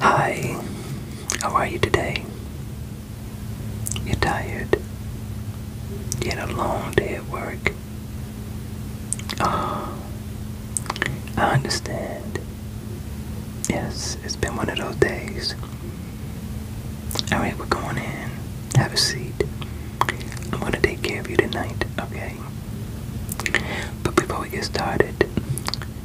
Hi, how are you today? You're tired? You had a long day at work? Oh, I understand. Yes, it's been one of those days. Alright, we're going in. Have a seat. I'm going to take care of you tonight, okay? But before we get started,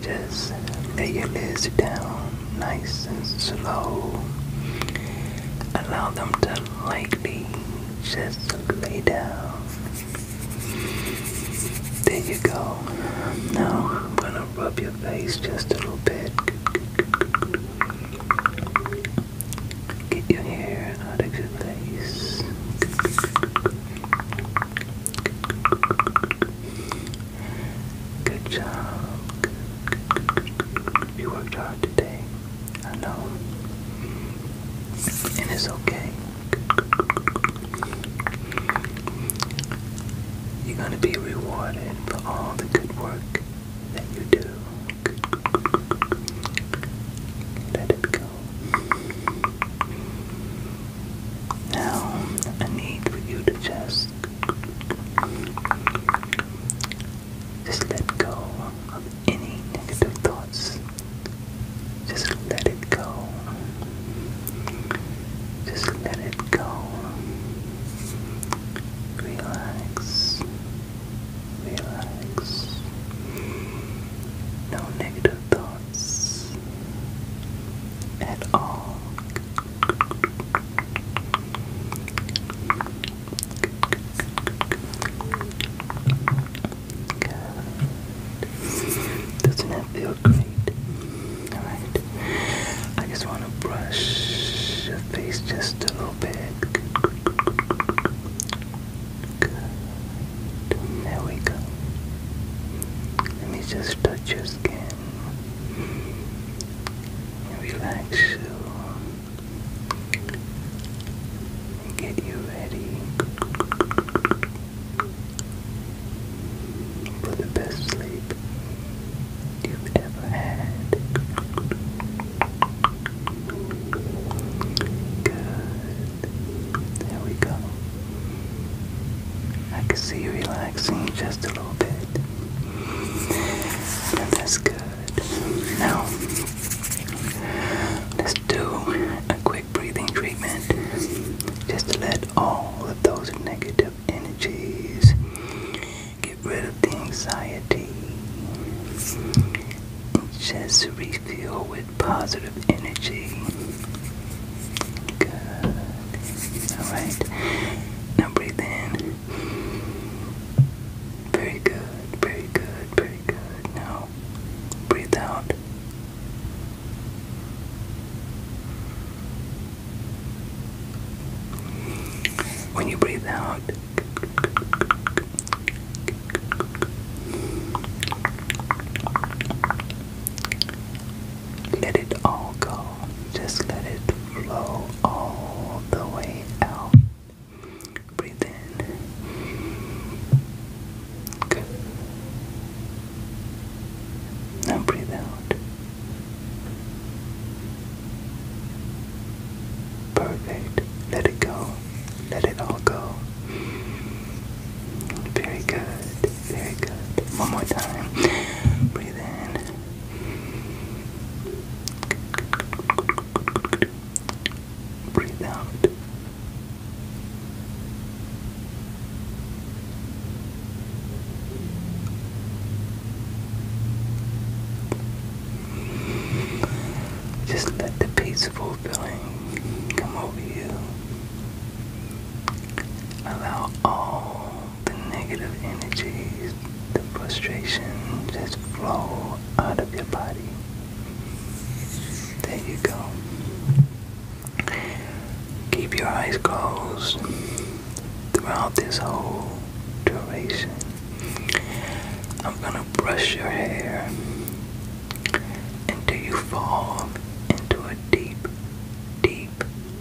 just lay your legs down nice and slow. Allow them to lightly just lay down. There you go. Now I'm gonna rub your face just a little bit. Get your hair out of your face. Good job. You worked hard today. I know. And it's okay. You're gonna be rewarded for all the good work that you do. Let it go. Now, I need for you to just just let go of any negative thoughts. Just let it go. Just let it go. Relax. Relax. No negative thoughts at all. Doesn't that feel great? Alright. I just want to brush your face just a little bit. There we go. Let me just touch your skin relax you and get you ready for the best sleep you've ever had. Good. There we go. I can see you relaxing just a little bit. that's good. Now, let's do a quick breathing treatment just to let all of those negative energies get rid of the anxiety. And just refill with positive energy. Good. Alright. Now breathe in. Very good, very good, very good. Now breathe out. When you breathe out, let it all go. Just let it flow all the way out. Breathe in. Good. Now breathe out. Perfect. Let it go. Let it all go. Very good very good. One more time. Breathe in. Breathe out. Just let the peaceful feeling come over you. Allow all the negative energies, the frustration just flow out of your body. There you go. Keep your eyes closed throughout this whole duration. I'm gonna brush your hair until you fall into a deep, deep,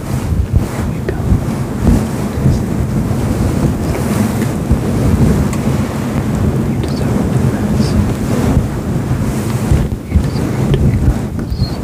we You deserve to You deserve to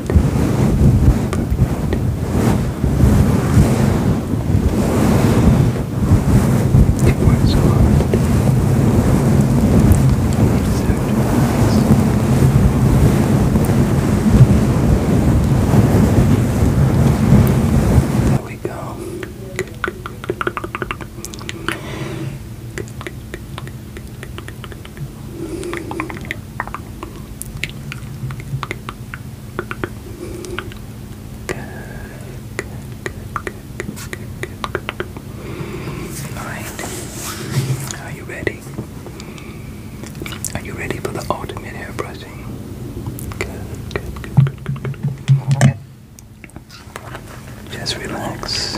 It was hard. It sacrifice. There we go. Good, good, good, good, good. Good, good, good, good, good, good, good, Alright. Are you ready? Are you ready for the ultimate air pressing? Just relax.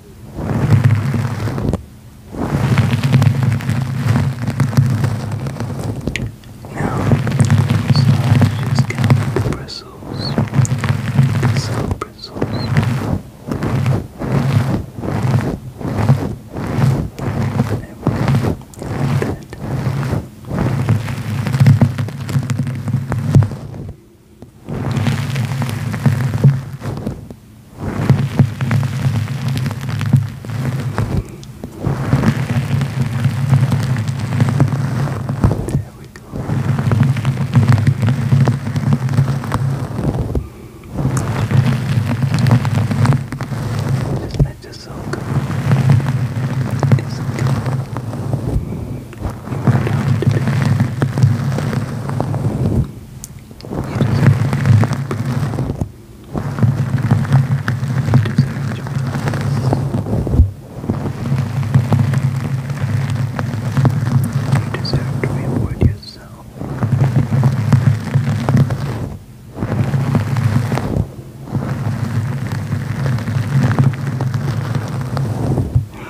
Now, so just count the bristles. Bristle, bristles. There we that. There we go. Isn't that just so good? It's so good. You deserve to reward yourself.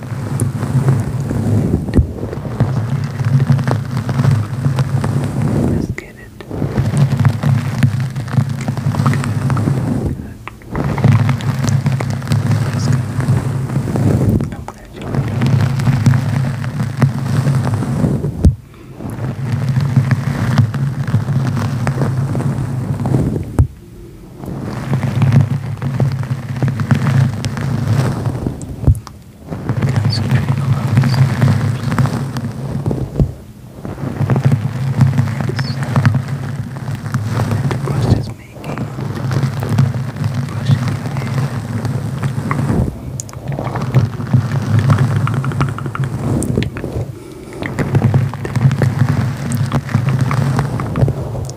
Let's get it. Let's go. I'm glad you like it. Concentrate on the sound the brush is making. Brushing your hair. There we go.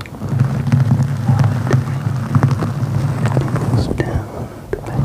Almost down the back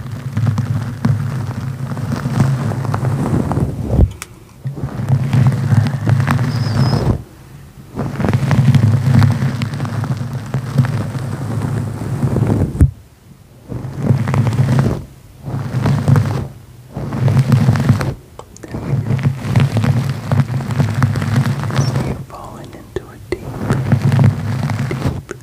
As you falling into a deep, deep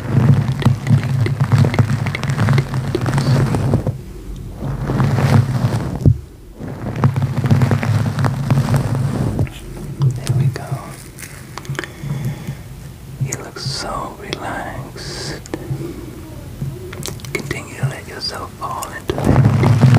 There we go. You look so relaxed. Continue to let yourself fall into that deep sleep.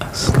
asleep.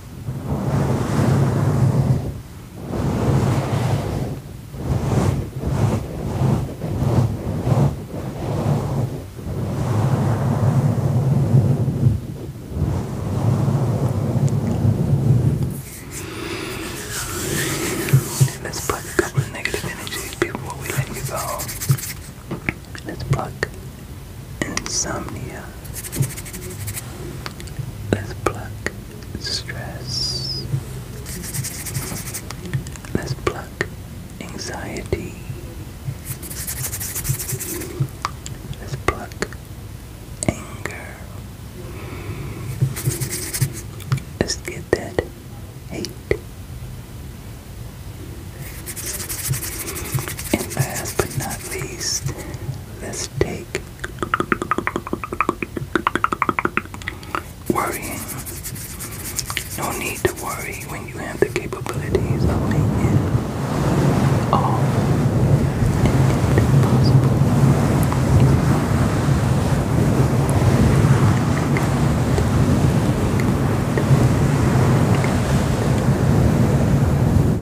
Let's pluck a couple of negative energies before we let you go. Let's pluck insomnia. Let's pluck stress. Let's pluck anxiety. Let's pluck anger. Let's get that hate. And last but not least, let's take Worrying. No need to worry when you have the capabilities of making it all possible.